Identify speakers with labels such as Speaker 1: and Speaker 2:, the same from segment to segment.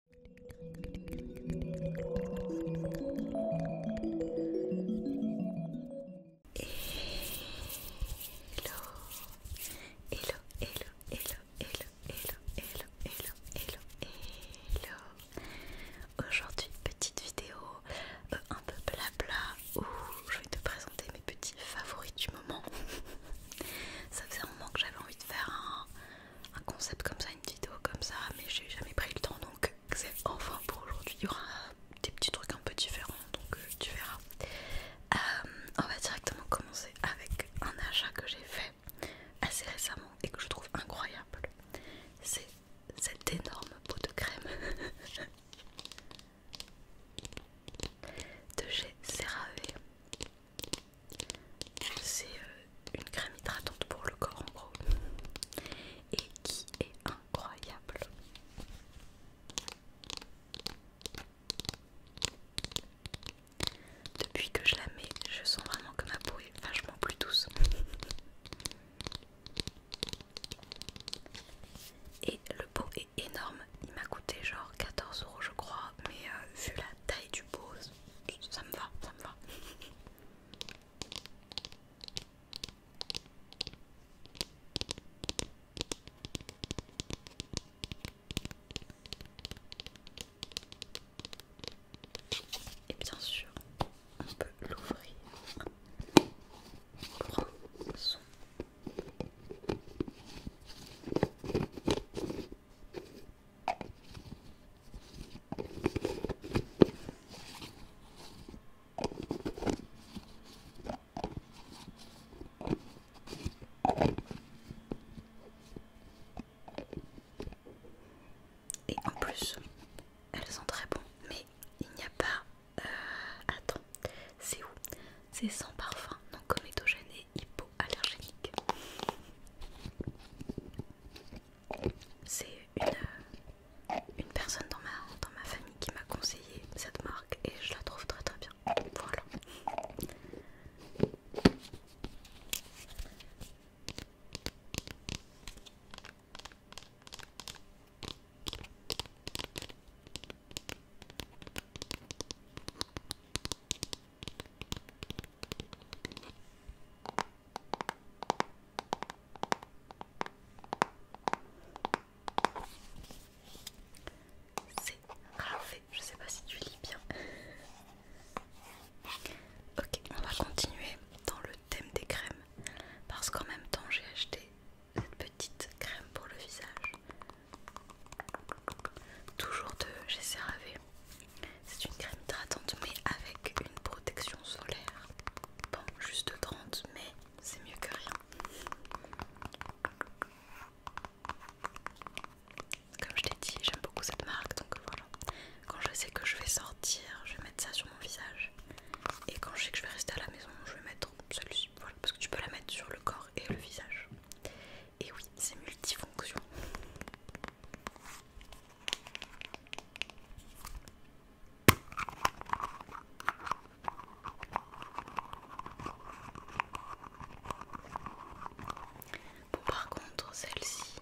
Speaker 1: hello, hello, hello, hello, hello, hello, hello, hello, hello. hello, Aujourd'hui, petite vidéo euh, un peu blabla où je vais te présenter mes petits favoris du moment. Ça faisait un moment que j'avais envie de faire un un concept comme ça, une vidéo comme ça, mais j'ai jamais pris le temps donc c'est enfin pour aujourd'hui. Il y aura des petits trucs un peu différents donc euh, tu verras. Euh, on va directement commencer avec un achat que j'ai fait assez récemment et que je trouve incroyable. C'est cette énorme pot de crème de chez CeraVe. C'est euh, une crème hydratante pour le corps en gros et qui est incroyable. Depuis que je la mets, je sens vraiment que ma peau est vachement plus douce. Et le pot est énorme, il m'a coûté genre 14 euros je crois, mais euh, vu la taille du pot, ça me va, ça me va. Et bien sûr, on peut l'ouvrir et en plus, elles sont très bonnes, mais il n'y a pas... Euh, attends, c'est où c'est sans parfum, non comédogène et hypoallergénique. C'est une, euh, une personne dans ma, dans ma famille qui m'a conseillé cette marque et je la trouve très très bien. Voilà. C'est parfait, je sais pas si tu lis bien. ok, on va continuer dans le thème des crèmes parce qu'en même temps j'ai acheté cette petite crème pour le visage Toujours de GCRAV. C'est une crème hydratante mais avec une protection solaire. Bon, juste 30 mais c'est mieux que rien. Comme je t'ai dit, j'aime beaucoup cette marque donc voilà. Quand je sais que je vais sortir, je vais mettre ça sur mon visage. Et quand je sais que je vais rester à la maison, je vais mettre celle-ci. Voilà, parce que tu peux la mettre sur le corps et le visage. Et oui, c'est multifonction. Bon par contre celle-ci,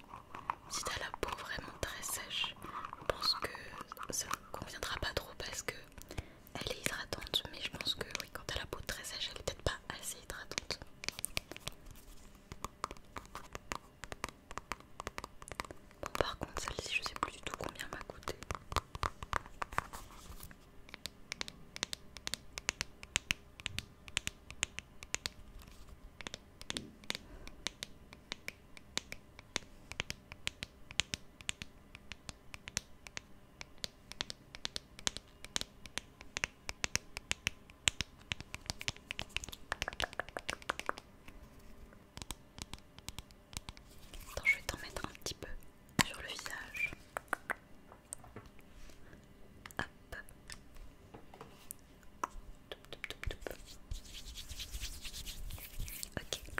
Speaker 1: si t'as la peau vraiment très sèche, je pense que ça ne conviendra pas trop parce que elle est hydratante, mais je pense que oui, quand elle a la peau très sèche, elle est peut-être pas assez hydratante. Bon, par contre, celle-ci, je sais plus du tout combien m'a coûté je vais t'en mettre un petit peu sur le visage. Ok.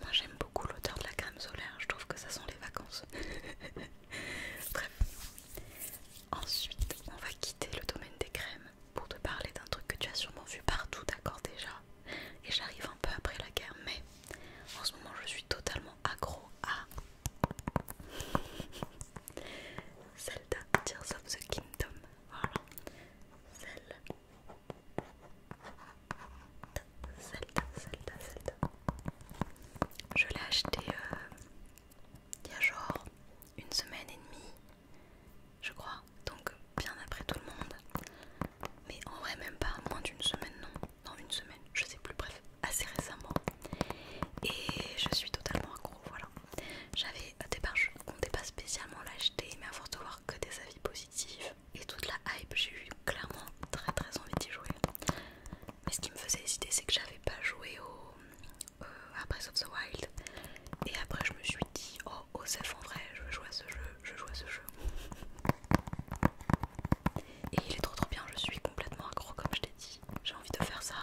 Speaker 1: Moi j'aime beaucoup l'odeur de la crème solaire, je trouve que ça sent les vacances. Bref. Ensuite, on va quitter le domaine des crèmes pour te parler d'un truc que tu as sûrement vu partout, d'accord déjà. Et j'arrive un peu après la guerre, mais en ce moment je suis totalement accro à Zelda Tears of the Kingdom. Voilà. Zelda je l'ai acheté euh, il y a genre une semaine et demie, je crois. Donc bien après tout le monde. Mais en vrai même pas, moins d'une semaine non. Non une semaine, je sais plus, bref, assez récemment. Et je suis totalement accro, voilà. J'avais au départ je comptais pas spécialement l'acheter, mais à force de voir que des avis positifs, et toute la hype, j'ai eu clairement très très envie d'y jouer. Mais ce qui me faisait hésiter, c'est que j'avais pas joué au, euh, à Breath of the Wild. Et après, je me suis dit, oh, Osef, en vrai, je veux jouer à ce jeu, je joue à ce jeu. Et il est trop trop bien, je suis complètement accro, comme je t'ai dit. J'ai envie de faire ça,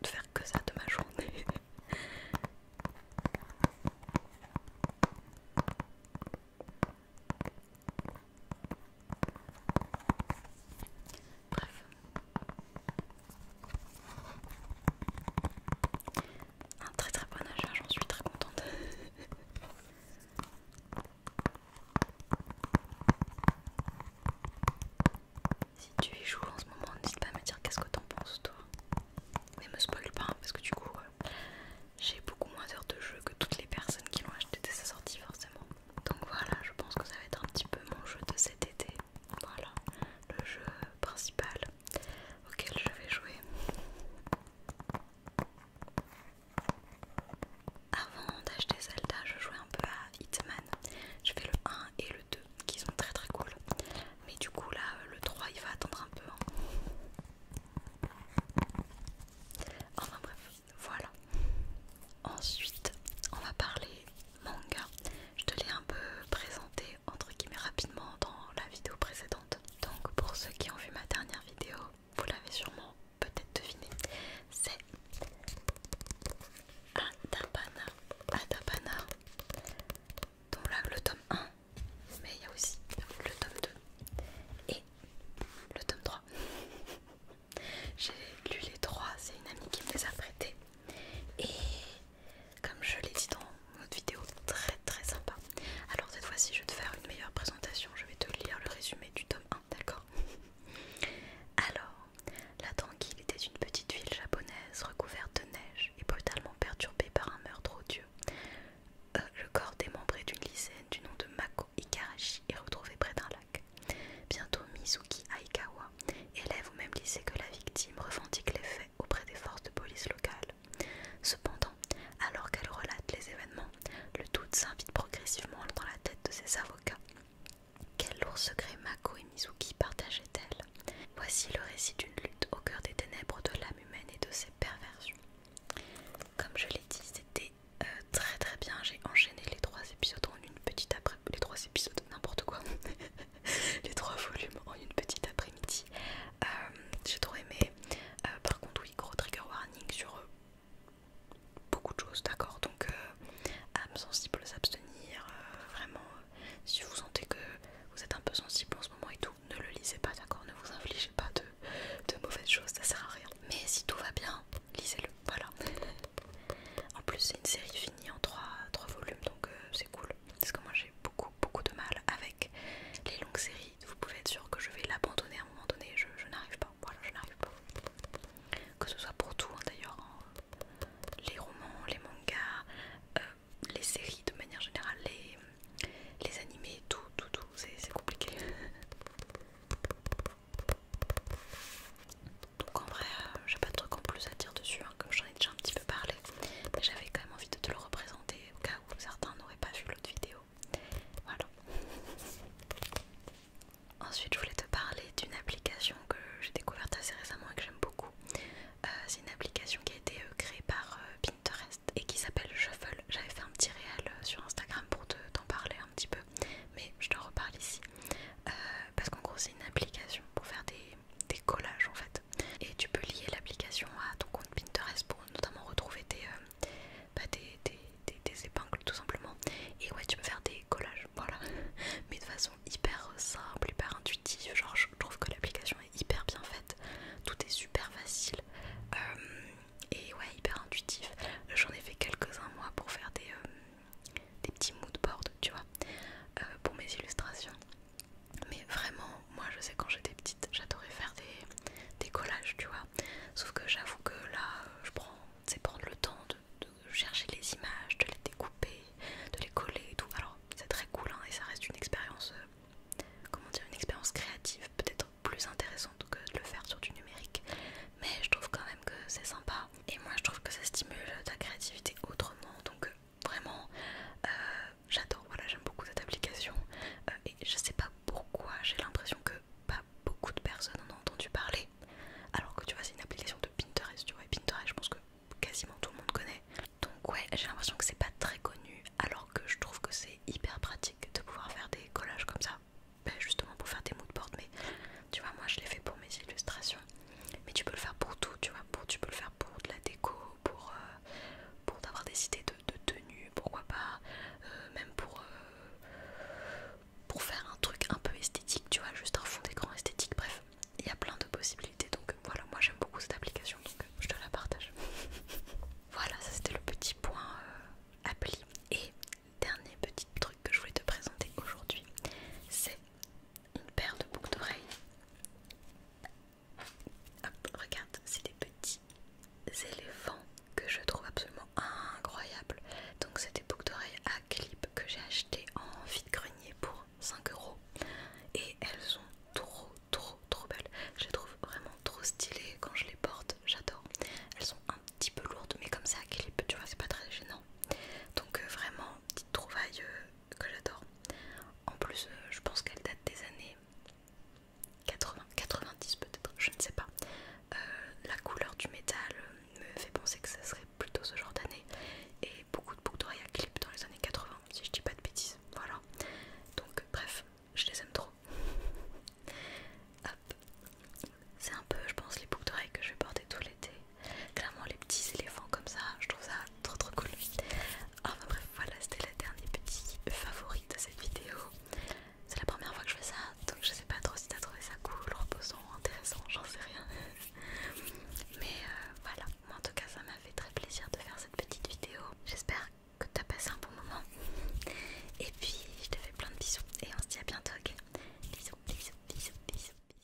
Speaker 1: de faire que ça de ma journée. Bref. Un très très bon achat, j'en suis très contente. si tu y joues en ce moment, n'hésite pas à me dire qu'est-ce que t'en penses toi. Mais me spoil pas hein, parce que du coup euh, j'ai beaucoup moins d'heures de jeu que toutes les personnes qui l'ont acheté dès sa sortie forcément. Donc voilà, je pense que ça va être un petit peu mon jeu de cet été. Voilà, le jeu principal auquel je vais jouer. Avant d'acheter Zelda, je jouais un peu à Hitman. Je fais le 1 et le 2 qui sont très très cool. Mais du coup, là, le 3 il va attendre un peu. Hein. Enfin bref, voilà. Ensuite, on va parler manga. Je te l'ai un peu présenté entre guillemets rapidement dans la vidéo précédente. Donc, pour ceux qui ont vu ma dernière vidéo, vous l'avez sûrement peut-être deviné, c'est Adabana Adabana donc là le tome 1 mais il y a aussi le tome 2 et le tome 3 j'ai lu les trois c'est une amie qui me les a prêtés et comme je l'ai dit dans autre vidéo très très sympa alors cette fois-ci je vais te faire une meilleure présentation je vais te lire le résumé du tome 1 d'accord alors la tranquille était une petite ville japonaise recouverte de neige et brutalement perturbée par un meurtre odieux. Euh, le corps démembré d'une lycéenne du nom de Mako Ikarashi est retrouvé près d'un lac. Bientôt, Mizuki Aikawa, élève au même lycée que la victime, revendique les faits auprès des forces de police locales. Cependant, alors qu'elle relate les événements, le doute s'invite progressivement dans la tête de ses avocats. Quel lourd secret Mako et Mizuki partageaient-elles Voici le récit d'une lutte au cœur des ténèbres de l'âme humaine et de ses perversions. Comme je l'ai dit, c'était euh, très très bien. J'ai enchaîné les trois épisodes en une petite après les trois épisodes, n'importe quoi, les trois volumes en une petite après-midi. Euh, j'ai trop aimé. Euh, par contre, oui, gros trigger warning sur beaucoup de choses, d'accord. Donc, âme s'abstenir, vraiment si vous sentez que vous êtes un peu sensible en ce moment et tout, ne le lisez pas, d'accord Ne vous infligez pas de, mauvaises choses, ça sert à rien. Mais si tout va bien, lisez-le, voilà. en plus, c'est une série finie en 3, volumes, donc euh, c'est cool. Parce que moi, j'ai beaucoup, beaucoup de mal avec les longues séries. Vous pouvez être sûr que je vais l'abandonner à un moment donné, je, n'arrive pas, voilà, je n'arrive pas. Que ce soit pour tout, hein, d'ailleurs, les romans, les mangas, euh, les séries de manière générale, les, les animés, tout, tout, tout, c'est compliqué. Donc en vrai, euh, j'ai pas de truc en plus à dire dessus, hein, comme j'en ai déjà un petit peu parlé, mais j'avais quand même envie de te le représenter au cas où certains n'auraient pas vu l'autre vidéo. Voilà. Ensuite, je voulais te parler d'une application que j'ai découverte assez récemment et que j'aime beaucoup. Euh, c'est une application qui a été euh, créée par euh, Pinterest et qui s'appelle Shuffle. J'avais fait un petit réel sur Instagram pour t'en parler un petit peu, mais je te reparle ici. parce qu'en gros, c'est une application pour faire des, collages en fait. Et tu peux lier l'application à ton compte Pinterest pour notamment retrouver Des bah, épingles tout simplement. Et ouais, tu peux faire des collages voilà. Mais de façon hyper simple, hyper intuitive, genre je trouve que l'application est hyper bien faite, tout est super facile euh, et ouais hyper intuitif. J'en ai fait quelques-uns moi pour faire des, euh, des petits moodboards, tu vois, euh, pour mes illustrations. Mais vraiment, moi je sais quand j'étais petite, j'adorais faire des, collages, tu vois. Sauf que j'avoue que là, je prends, c'est prendre le temps de de, chercher les images, de les découper, de les coller et tout. Alors c'est très cool hein, et ça reste une expérience, euh, comment dire, une expérience créative, peut-être plus intéressante que de le faire sur du numérique. Mais je trouve quand même que c'est sympa et moi je trouve que ça stimule ta créativité autrement. Donc euh, vraiment, euh, j'adore, voilà, j'aime beaucoup cette application et je sais pas pourquoi j'ai l'impression que pas beaucoup de personnes en ont entendu parler. Alors que tu vois, c'est une application de Pinterest, tu vois, et Pinterest, je pense que quasiment tout le monde connaît. Donc, ouais, j'ai l'impression que c'est pas très connu, alors que je trouve que c'est hyper pratique de pouvoir faire des collages comme ça. Ben, justement pour faire des moodboards mais tu vois, moi je l'ai fait pour mes illustrations. Mais tu peux le faire pour tout, tu vois, pour, tu peux le faire pour de la déco, pour, euh, pour d'avoir des idées de, de tenue, pourquoi pas, euh, même pour. Euh, pour faire un truc un peu esthétique, tu vois, juste un fond d'écran esthétique, bref, il y a plein de possibilités. Donc euh, voilà, moi j'aime beaucoup cette application, donc euh, je te la partage. voilà, ça c'était le petit point euh, appli. Et dernier petit truc que je voulais te présenter aujourd'hui, c'est une paire de boucles d'oreilles. regarde, c'est des petits éléphants que je trouve absolument incroyable. Donc c'est des boucles d'oreilles à clip que j'ai acheté en vide-grenier pour 5 euros et elles sont trop trop trop belles. Je les trouve vraiment trop stylées quand je les porte, j'adore. Elles sont un petit peu lourdes mais comme ça à clip, tu vois, c'est pas très gênant. Donc euh, vraiment petite trouvaille euh, que j'adore. En plus, euh, je pense qu'elles datent des années 80, 90 peut-être, je ne sais pas. Euh, la couleur du métal euh, me fait penser que ce serait plutôt ce genre d'année et beaucoup de boucles d'oreilles à clip dans les années 80 si je dis pas de bêtises voilà donc bref je les aime trop c'est un peu je pense les boucles d'oreilles que je vais porter tout l'été clairement les petits éléphants comme ça je trouve ça trop trop cool ah, bref voilà c'était le dernier petit favori de cette vidéo c'est la première fois que je fais ça, donc je sais pas trop si t'as trouvé ça cool, reposant, intéressant, j'en sais rien. Mais euh, voilà, moi en tout cas, ça m'a fait très plaisir de faire cette petite vidéo. J'espère que t'as passé un bon moment. Et puis, je te fais plein de bisous et on se dit à bientôt, ok Bisous, bisous, bisous, bisous, bisous.